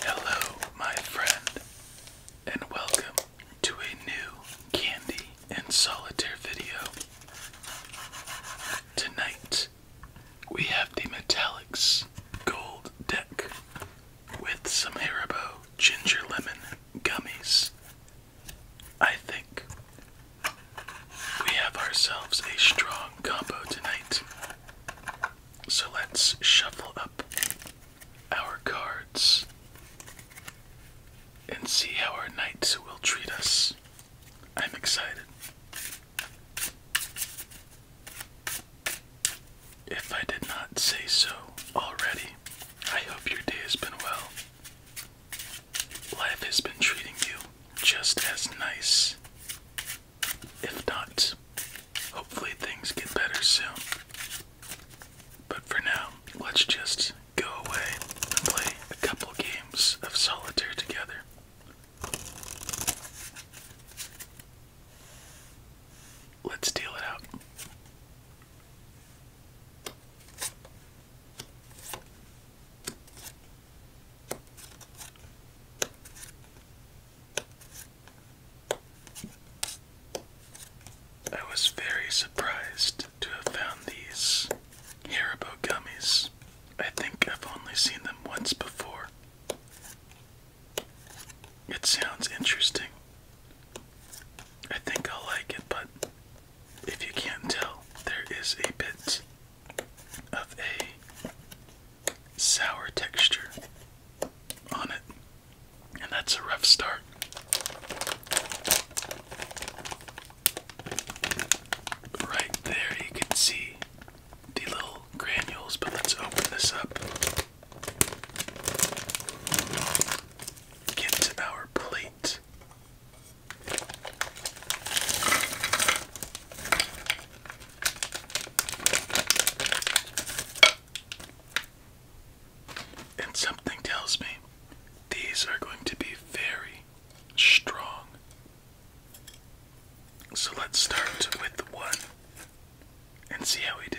Hello, my friend, and welcome to a new Candy and Solitaire video. Tonight, we have the Metallics Gold Deck with some Haribo Ginger Lemon Gummies. I think we have ourselves a strong combo tonight. So let's shuffle up our cards and see how our knights will treat us. I'm excited. If I did not say so already, I hope your day has been well. Life has been treating you just as nice if not, hopefully things get better soon. But for now, let's just go away and play a couple games of solitaire together. Let's deal it out. I was very surprised to have found these Haribo gummies. I think I've only seen them once before. It sounds interesting. I think I'll like it, but if you can't tell, there is a bit of a sour texture on it, and that's a rough start. Right there, you can see the little granules, but let's open this up. Get to our plate. And something tells me these are going to be very strong. So let's start with one and see how we do.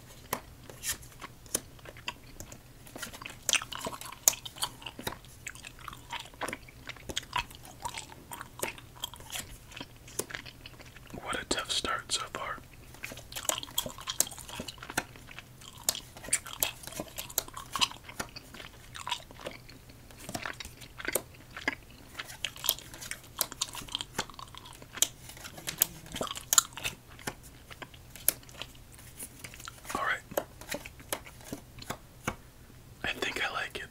What a tough start so far. All right. I think I like it.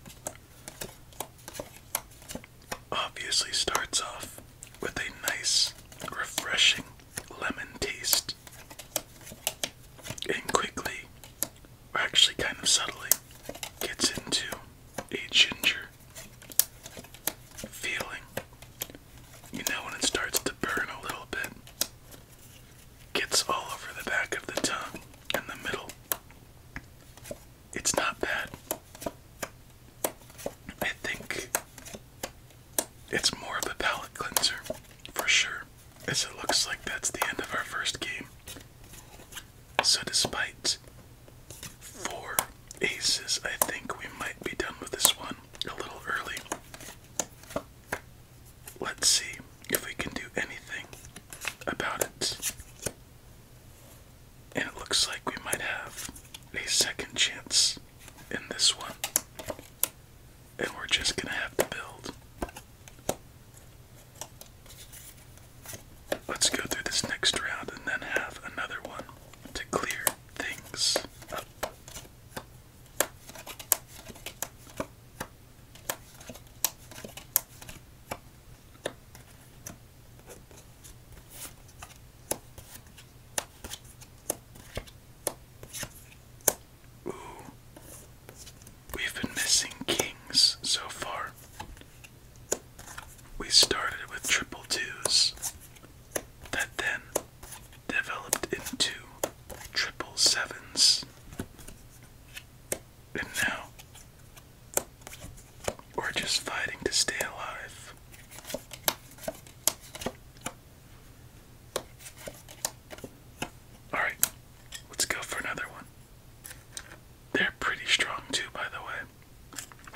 Obviously starts off with a nice, refreshing lemon taste. And quickly, or actually kind of subtly, gets into a ginger feeling you know when it starts to burn a little bit, gets all over the back of the tongue and the middle. It's not bad. I think it's more of a palate cleanser for sure, as it looks like that's the end of our first game. So, despite four aces. I think we might be done with this one a little early. Let's see if we can do anything about it. And it looks like we might have a second chance in this one. And we're just gonna have to build. Let's go through this next round and then have another one to clear things up. Ooh. We've been missing kings so far. We started with triple twos, that then developed into triple sevens. And now we're just fighting to stay alive. Alright, let's go for another one. They're pretty strong, too, by the way.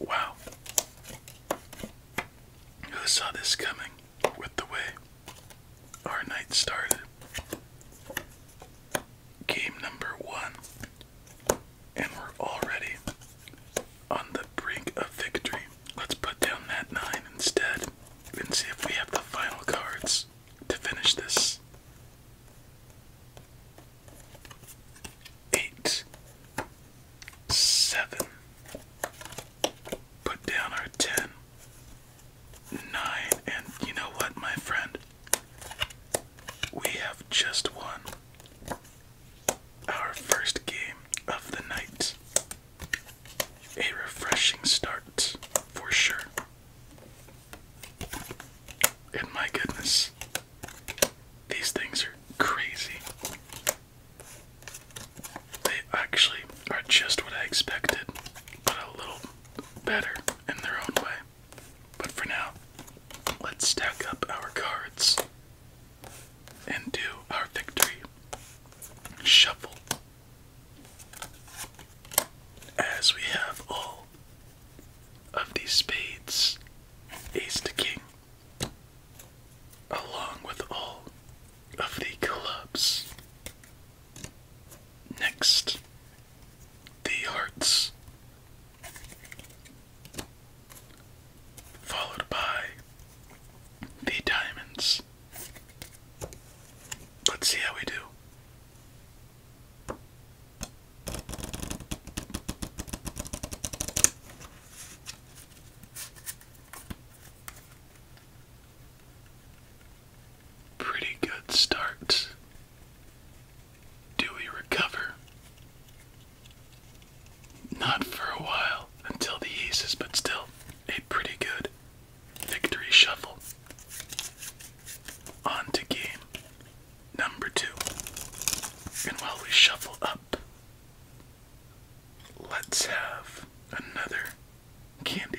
Wow. Who saw this coming with the way our night started? Game number one and we're already on the brink of victory. Let's put down that 9 instead and see if we have the final cards to finish this. 8. 7. Put down our 10. And you know what, my friend? We have just won our first game of the night. A refreshing start, for sure. And my goodness, these things are crazy. They actually are just what I expected, but a little better in their own way. But for now, let's stack up our cards and do our victory shuffle. As we have all of these spades, ace to king, along with all of the clubs. Next, the hearts followed by the diamonds. Let's see how we do. Pretty good start do we recover? Not for a while until the aces, but still a pretty good victory shuffle. On to game number two. And while we shuffle up, let's have another candy.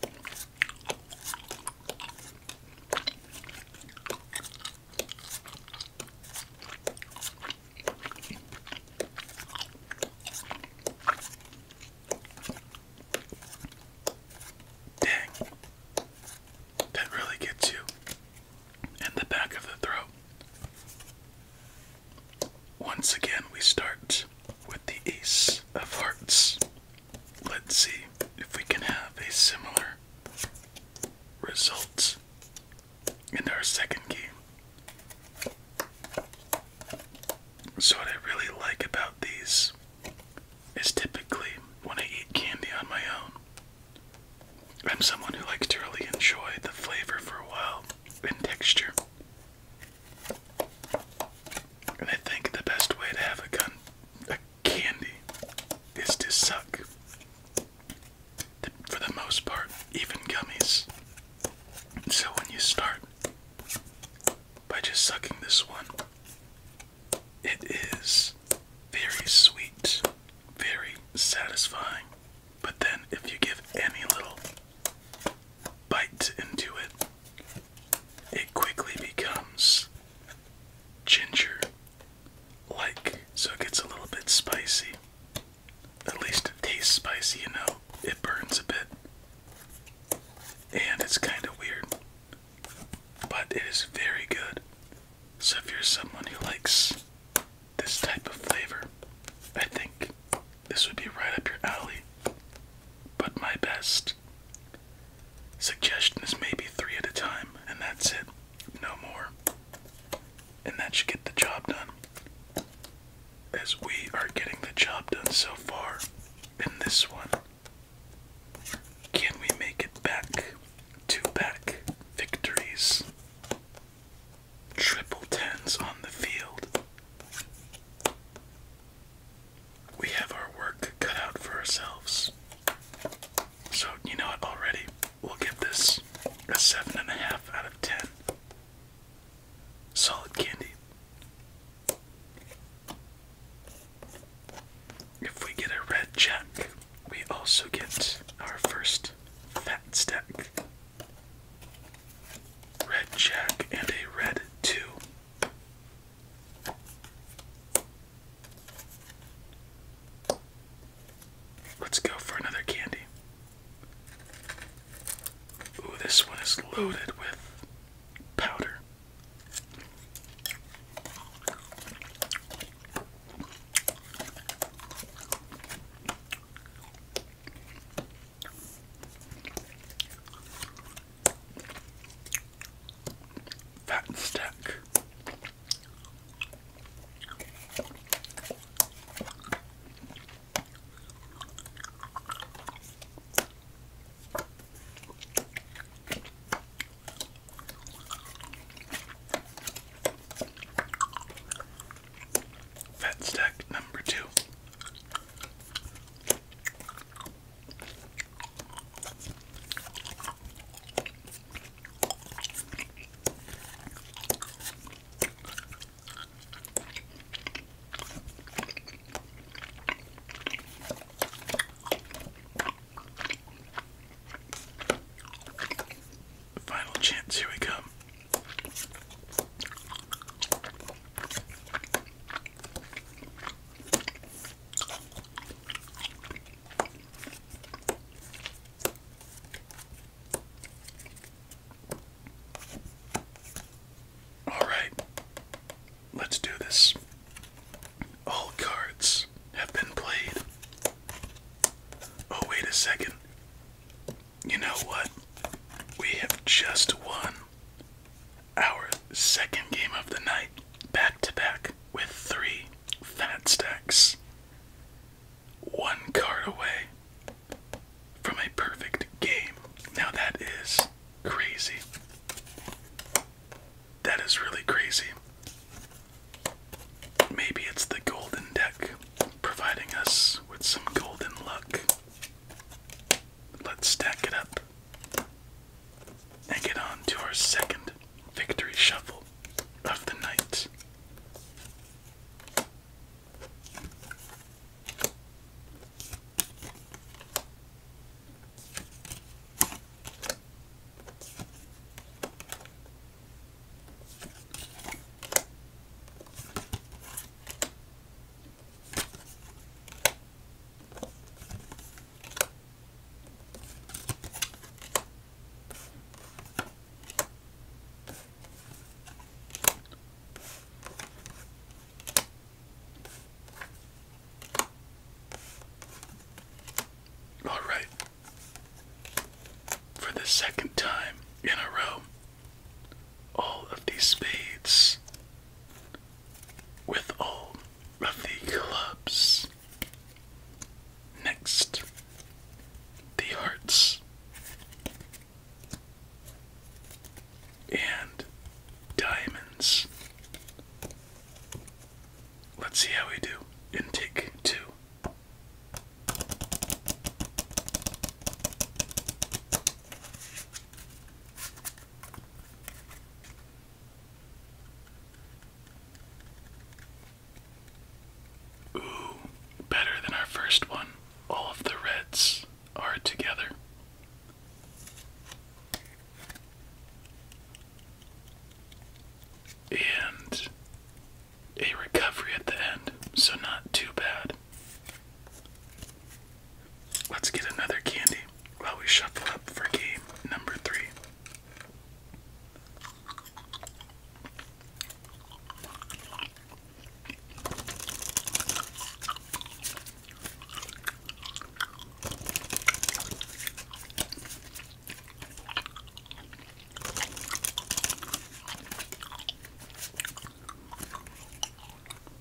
Dang. That really gets you in the back of the throat. Once again, we start with the Ace of Hearts. Let's see if we can have a similar results in our second game. So what I really like about these is typically when I eat candy on my own. I'm someone who likes to really enjoy the flavor for a while and texture and I think the best way to have a gun, candy, is to suck. For the most part, even gummies. So when you start by just sucking this one, it is very sweet, very satisfying. But then, if you give any little bite into it, it quickly becomes ginger like, so it gets a little bit spicy. At least it tastes spicy, you know, it burns a bit. And it's kind of weird, but it is very good. So if you're someone who likes this type of flavor, I think this would be right up your alley. But my best Suggestion is maybe three at a time, and that's it. No more. And that should get the job done. As we are getting the job done so far in this one. Can we make it back? Two back victories. Triple tens on the field we have our work cut out for ourselves. So, you know what, already, we'll give this a 7.5 out of 10. Solid candy. If we get a red jack, we also get our first fat stack. Red jack and a red two. Let's go for another candy. Ooh, this one is loaded with powder. Fat and stack. Fat stack number two. Final chance, here we come. All right, let's do this. All cards have been played. Oh, wait a second. You know what? We have just won our second game of the night, back to back with three fat stacks. One card away from a perfect game. Now that is crazy. That is really crazy. Maybe it's the golden deck providing us with some golden luck. Let's stack it up and get on to our second victory shuffle of the night. All right. For the second time in a row, all of these spades with all of the clubs. Next, the hearts and diamonds. Let's see how we do in take two. Ooh, better than our first one. All of the reds are together. And a recovery at the end, so not too bad. Let's get another candy while we shuffle up for game number three.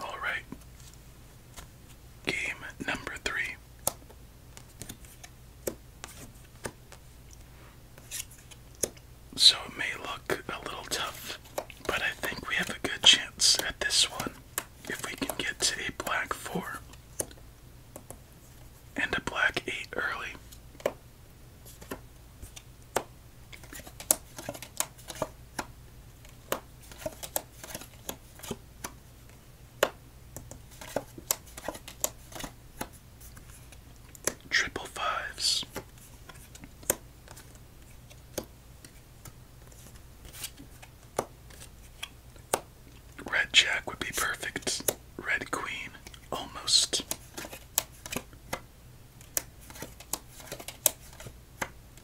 All right. Game number three. So it may look a little tough, but I think we have a good chance at this one if we can get to a black four and a black eight early. Triple fives. Red Jack would be perfect. Red Queen, almost.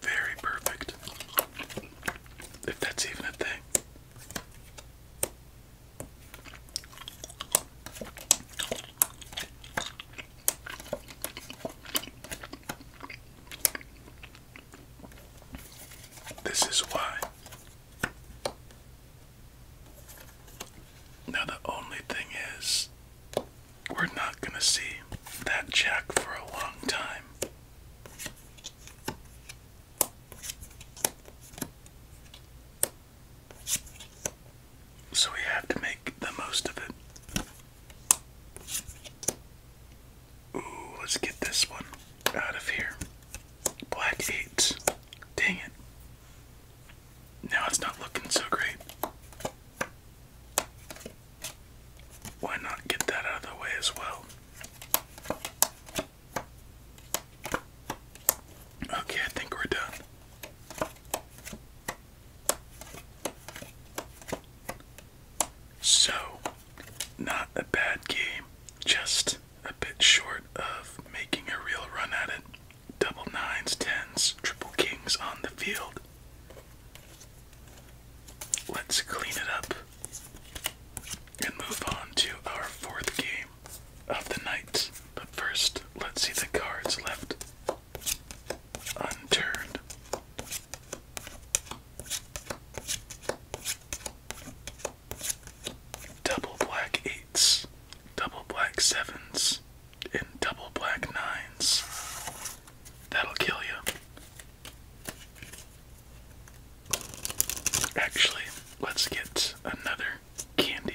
Very perfect. If that's even a thing. This is why. Now, the only thing is, we're not going to see that jack for a long time. So we have to make the most of it. Ooh, let's get this one out of here. Black eight. Dang it. Now it's not looking so great. Why not get that out of the way as well? Okay, I think we're done. So, not a bad game, just a bit short of making a real run at it double nines, tens, triple kings on the field. Let's clean it up and move on to our fourth game of the night. But first, let's see the cards left unturned. Double black eight double black sevens, and double black nines. That'll kill you. Actually, let's get another candy.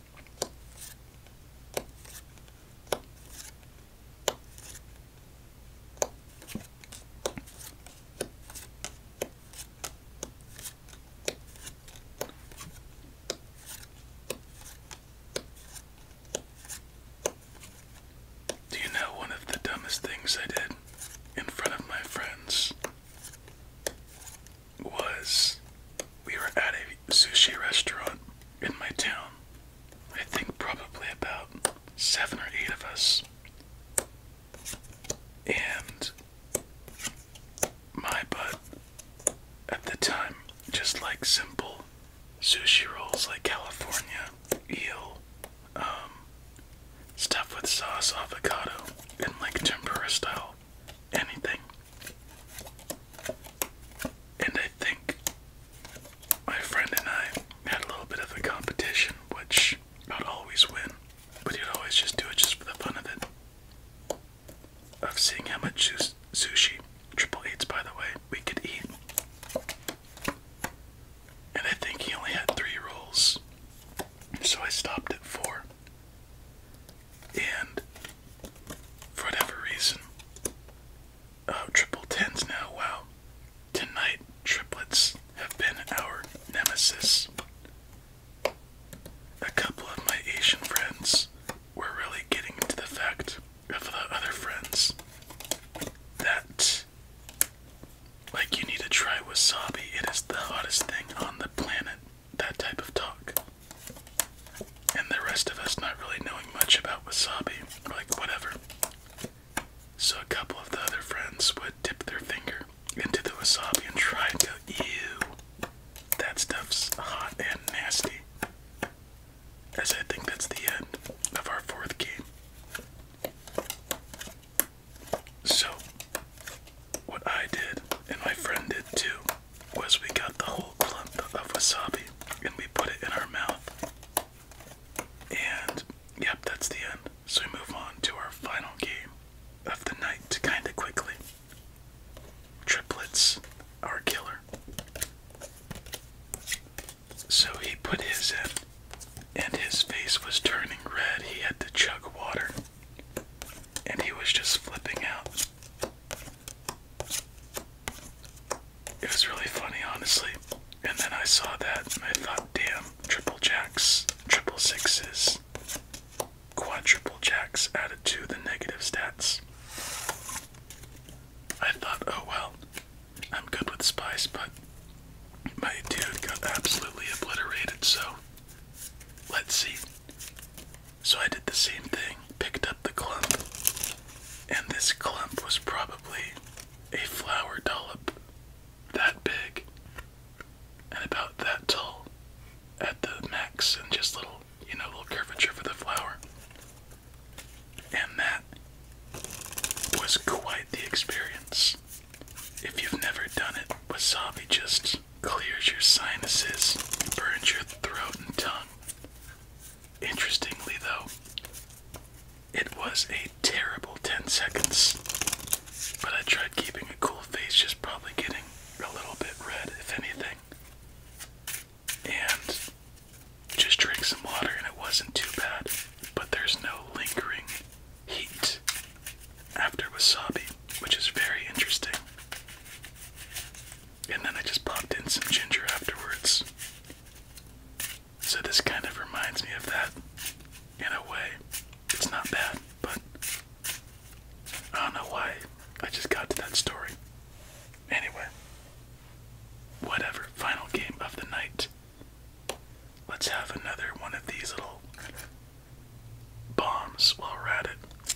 Do you know one of the dumbest things I did in front of my friends? was we were at a sushi restaurant in my town. I think probably about seven or eight of us. And my butt at the time just like simple sushi rolls like California, eel, um, stuff with sauce, avocado, and like tempura style anything. And I think my friend and I had a little bit of a competition, which I'd always win, but he'd always just do it just for the fun of it. Of seeing how much sushi, triple eights by the way, we could eat. And I think he only had three rolls, so I stopped at four. And for whatever reason, oh, triple tens now. Wow. Tonight, triplets have been our nemesis. A couple of my Asian friends were really getting into the fact of the uh, other friends that, like, you need to try wasabi. It is the hottest thing on the planet that type of talk. And the rest of us not really knowing much about wasabi, like whatever. So a couple of the other friends would dip their finger into the wasabi and try and go, ew, that stuff's hot and nasty. As I think that's the end of our fourth game. So, what I did, and my friend did too, was we got the whole clump of wasabi and we put it in our mouth. And yep, that's the end. So we move on to our final game of the night kinda quickly. Triplets our killer. So he put his in, and his face was turning red. He had to chug water, and he was just flipping out. It was really funny, honestly. And then I saw that I thought, damn, triple jacks, triple sixes, quadruple jacks added to the negative stats. I thought, oh well, I'm good with spice, but my dude got absolutely obliterated, so let's see. So I did the same thing, picked up the clump, and this clump was probably a flower dollop that big and about that tall at the max, and just little, you know, little curvature for the flower. And that was quite the experience. If you've never done it, wasabi just clears your sinuses, burns your throat and tongue. Interestingly, though, it was a terrible 10 seconds, but I tried keeping a cool face, just probably getting a little bit red, if anything. And just drank some water, and it wasn't too bad, but there's no lingering heat after wasabi, which is very interesting. And then I just popped in some ginger afterwards. So this kind of reminds me of that in a way. It's not bad, but I don't know why I just got to that story. Anyway, whatever. Final game of the night. Let's have another one of these little bombs while we're at it.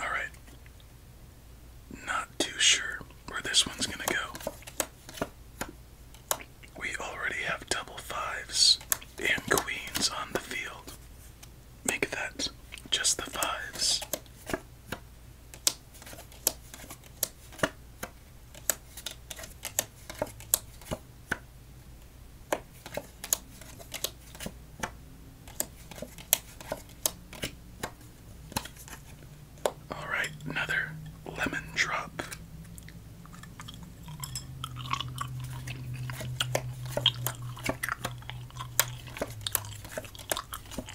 All right. Not too sure where this one's going to go. We already have double fives and queens on the field. Make that just the fives. All right, another lemon drop.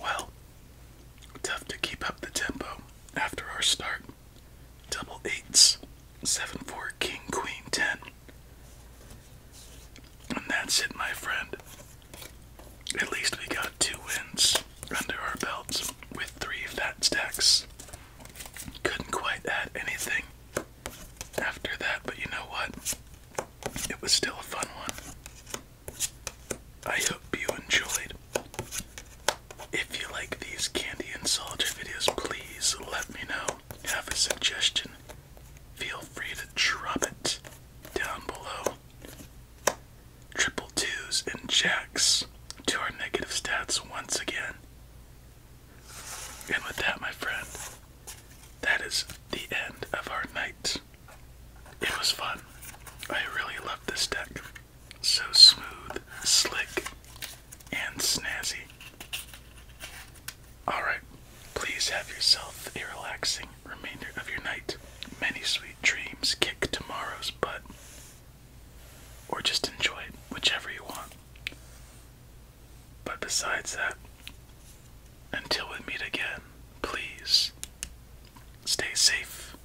Well, tough to keep up the tempo after our start. Double eights, seven, four, king, queen, ten. And that's it, my friend. At least we got two wins under our belts with three fat stacks. Couldn't quite add anything after that, but you know what? It was still a fun one. I hope you enjoyed. If you like these candy and soldier videos, please let me know. Have a suggestion? Feel free to drop it down below. Triple twos and jacks to our negative stats once again. And with that, my friend, that is the end of our night. It was fun. I really loved this deck. So smooth, slick, and snazzy. Alright, please have yourself a relaxing remainder of your night. Many sweet dreams kick tomorrow's butt. Or just enjoy it, whichever you want. But besides that, until we meet again, please stay safe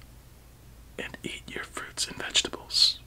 and eat your fruits and vegetables.